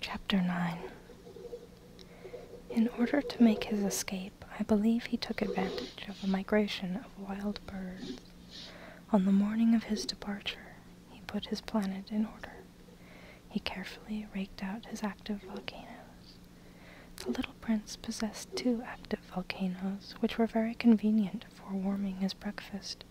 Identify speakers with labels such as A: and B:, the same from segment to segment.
A: Chapter 9 In order to make his escape, I believe he took advantage of a migration of wild birds. On the morning of his departure, he put his planet in order. He carefully raked out his active volcanoes. The little prince possessed two active volcanoes, which were very convenient for warming his breakfast.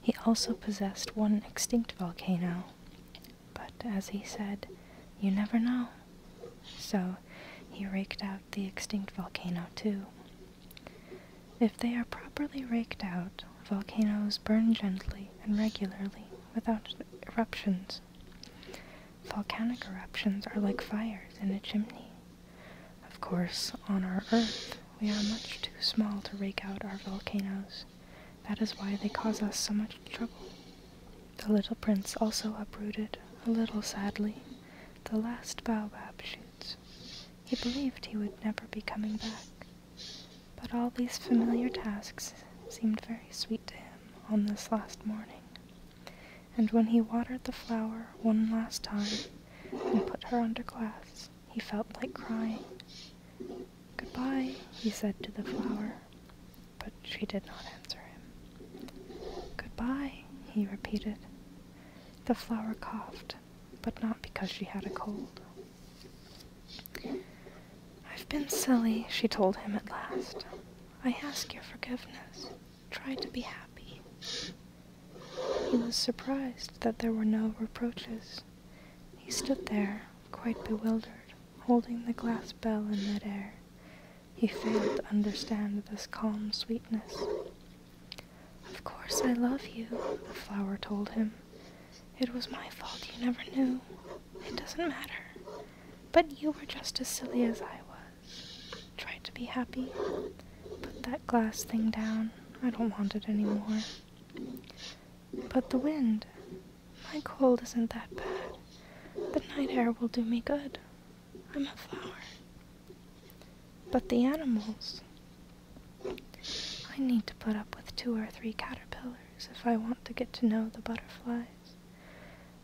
A: He also possessed one extinct volcano, but as he said, you never know. So he raked out the extinct volcano too. If they are properly raked out, volcanoes burn gently and regularly without eruptions. Volcanic eruptions are like fires in a chimney. Of course, on our Earth, we are much too small to rake out our volcanoes. That is why they cause us so much trouble. The little prince also uprooted, a little sadly, the last baobab shoots. He believed he would never be coming back. But all these familiar tasks seemed very sweet to him on this last morning and when he watered the flower one last time and put her under glass, he felt like crying. Goodbye, he said to the flower, but she did not answer him. Goodbye, he repeated. The flower coughed, but not because she had a cold. I've been silly, she told him at last. I ask your forgiveness tried to be happy. He was surprised that there were no reproaches. He stood there, quite bewildered, holding the glass bell in midair. He failed to understand this calm sweetness. Of course I love you, the flower told him. It was my fault you never knew. It doesn't matter. But you were just as silly as I was try to be happy. Put that glass thing down. I don't want it anymore. But the wind. My cold isn't that bad. The night air will do me good. I'm a flower. But the animals. I need to put up with two or three caterpillars if I want to get to know the butterflies.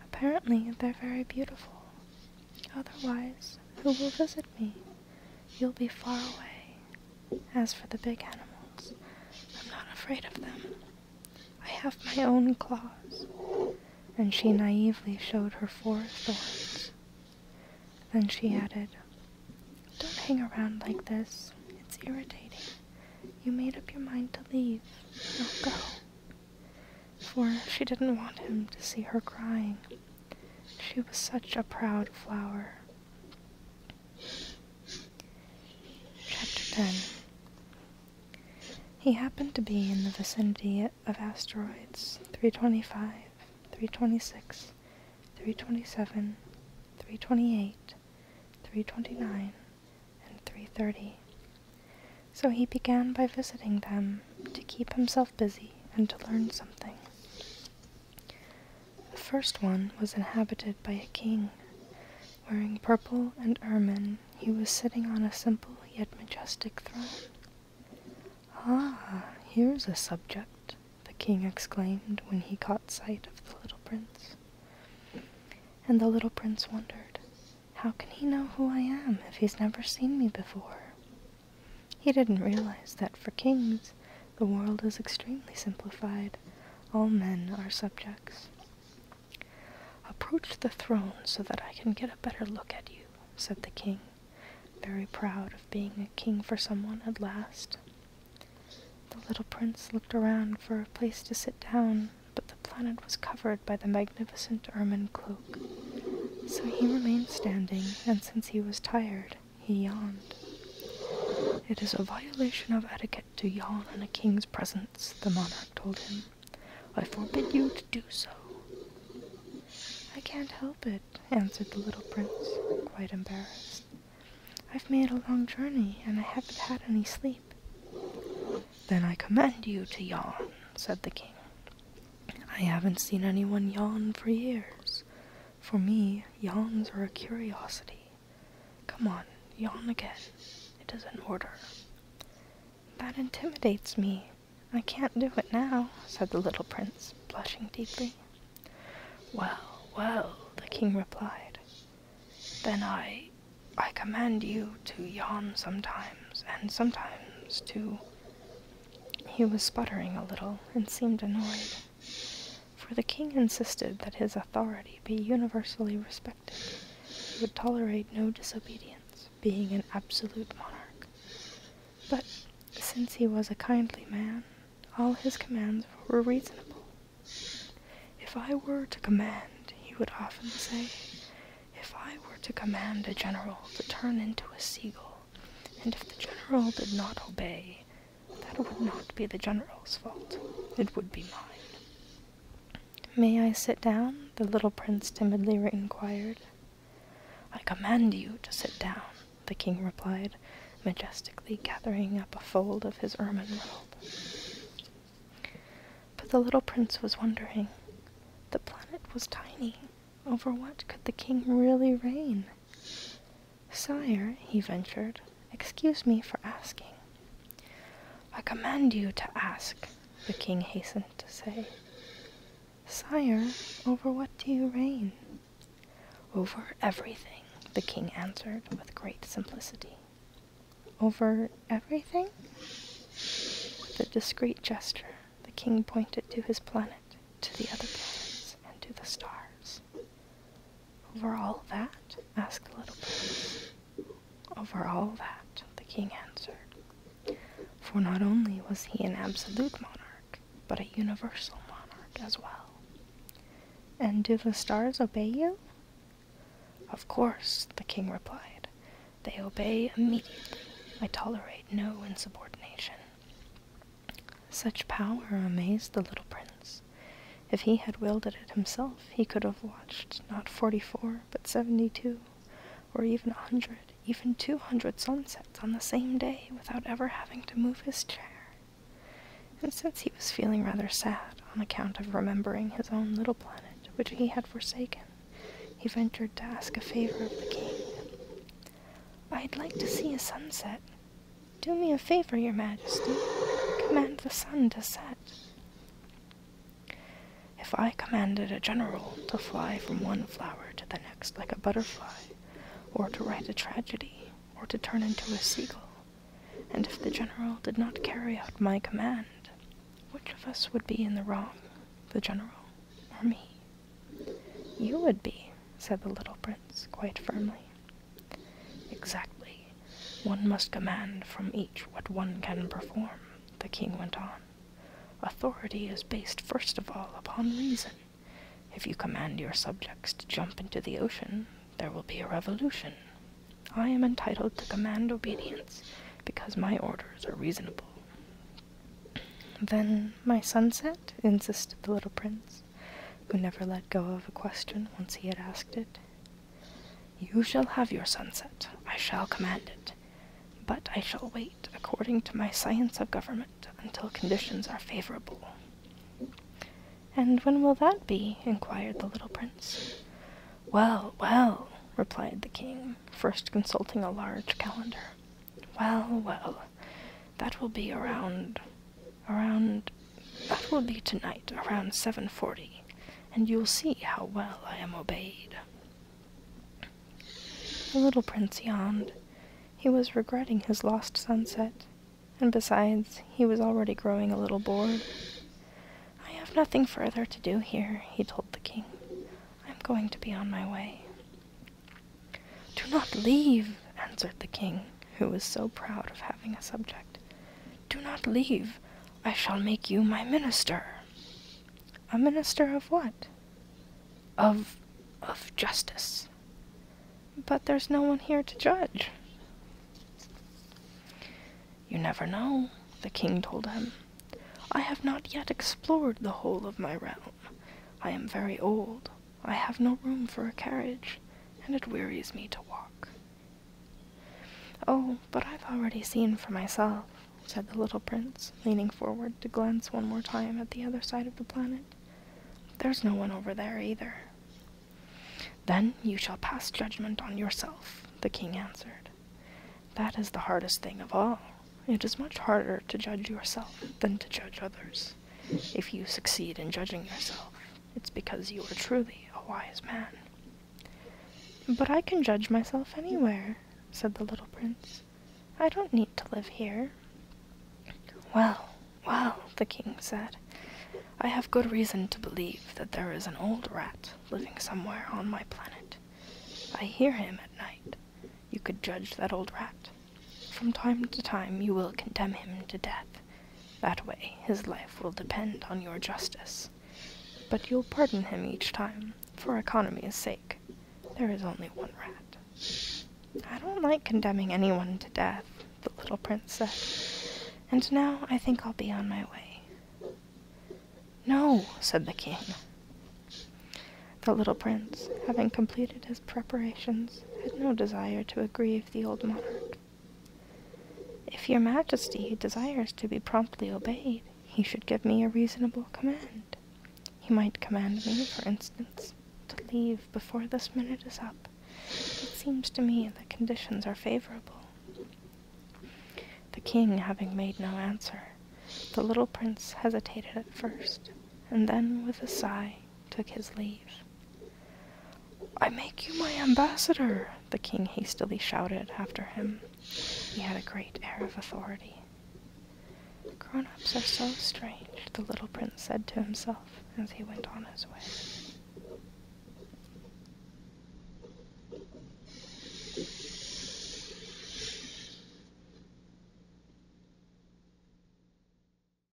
A: Apparently, they're very beautiful, Otherwise, who will visit me? You'll be far away. As for the big animals, I'm not afraid of them. I have my own claws. And she naively showed her four thorns. Then she added, Don't hang around like this. It's irritating. You made up your mind to leave. Now go. For she didn't want him to see her crying. She was such a proud flower. Chapter 10 He happened to be in the vicinity of asteroids 325, 326, 327, 328, 329, and 330. So he began by visiting them to keep himself busy and to learn something. The first one was inhabited by a king. Wearing purple and ermine, he was sitting on a simple yet majestic throne. Ah, here's a subject, the king exclaimed when he caught sight of the little prince. And the little prince wondered, How can he know who I am if he's never seen me before? He didn't realize that for kings, the world is extremely simplified. All men are subjects. Approach the throne so that I can get a better look at you, said the king, very proud of being a king for someone at last. The little prince looked around for a place to sit down, but the planet was covered by the magnificent ermine cloak. So he remained standing, and since he was tired, he yawned. It is a violation of etiquette to yawn in a king's presence, the monarch told him. I forbid you to do so. I can't help it, answered the little prince, quite embarrassed. I've made a long journey, and I haven't had any sleep. Then I command you to yawn, said the king. I haven't seen anyone yawn for years. For me, yawns are a curiosity. Come on, yawn again. It is an order. That intimidates me. I can't do it now, said the little prince, blushing deeply. Well, well, the king replied. Then I I command you to yawn sometimes, and sometimes to he was sputtering a little and seemed annoyed, for the king insisted that his authority be universally respected. He would tolerate no disobedience, being an absolute monarch. But since he was a kindly man, all his commands were reasonable. If I were to command, he would often say, if I were to command a general to turn into a seagull, and if the general did not obey, that would not be the general's fault. It would be mine. May I sit down? the little prince timidly inquired. I command you to sit down, the king replied, majestically gathering up a fold of his ermine robe. But the little prince was wondering. The planet was tiny, over what could the king really reign? Sire, he ventured, excuse me for asking. I command you to ask, the king hastened to say. Sire, over what do you reign? Over everything, the king answered with great simplicity. Over everything? With a discreet gesture, the king pointed to his planet to the other planets and to the stars. Over all that? asked the little prince. Over all that, the king answered. For not only was he an absolute monarch, but a universal monarch as well. And do the stars obey you? Of course, the king replied. They obey immediately. I tolerate no insubordination. Such power amazed the little prince. If he had wielded it himself, he could have watched not forty four, but seventy two, or even a hundred, even two hundred sunsets on the same day without ever having to move his chair. And since he was feeling rather sad on account of remembering his own little planet, which he had forsaken, he ventured to ask a favor of the king. I'd like to see a sunset, do me a favor, your majesty. Command the sun to set. If I commanded a general to fly from one flower to the next like a butterfly, or to write a tragedy, or to turn into a seagull, and if the general did not carry out my command, which of us would be in the wrong, the general or me? You would be, said the little prince quite firmly. Exactly. One must command from each what one can perform, the king went on. Authority is based first of all upon reason. If you command your subjects to jump into the ocean, there will be a revolution. I am entitled to command obedience because my orders are reasonable. Then my sunset? insisted the little prince who never let go of a question once he had asked it. You shall have your sunset, I shall command it, but I shall wait, according to my science of government, until conditions are favorable. And when will that be? inquired the little prince. Well, well, replied the king, first consulting a large calendar. Well, well, that will be around, around, that will be tonight, around 7.40, and you'll see how well I am obeyed. The little prince yawned. He was regretting his lost sunset, and besides, he was already growing a little bored. I have nothing further to do here, he told the king. I'm going to be on my way. Do not leave, answered the king, who was so proud of having a subject. Do not leave. I shall make you my minister. A minister of what? Of. of justice. But there's no one here to judge. You never know, the king told him. I have not yet explored the whole of my realm. I am very old. I have no room for a carriage, and it wearies me to walk. Oh, but I've already seen for myself, said the little prince, leaning forward to glance one more time at the other side of the planet. There's no one over there either. Then you shall pass judgment on yourself, the king answered. That is the hardest thing of all. It is much harder to judge yourself than to judge others. If you succeed in judging yourself, it's because you are truly a wise man. But I can judge myself anywhere, said the little prince. I don't need to live here. Well, well, the king said, I have good reason to believe that there is an old rat living somewhere on my planet. I hear him at night. You could judge that old rat from time to time you will condemn him to death. That way, his life will depend on your justice. But you'll pardon him each time, for economy's sake. There is only one rat. I don't like condemning anyone to death, the little prince said. And now I think I'll be on my way. No, said the king. The little prince, having completed his preparations, had no desire to agree the old monarch. If your majesty desires to be promptly obeyed, he should give me a reasonable command. He might command me, for instance, to leave before this minute is up. It seems to me that conditions are favorable. The king having made no answer, the little prince hesitated at first, and then, with a sigh, took his leave. I make you my ambassador, the king hastily shouted after him. He had a great air of authority. Grown ups are so strange, the little prince said to himself as he went on his way.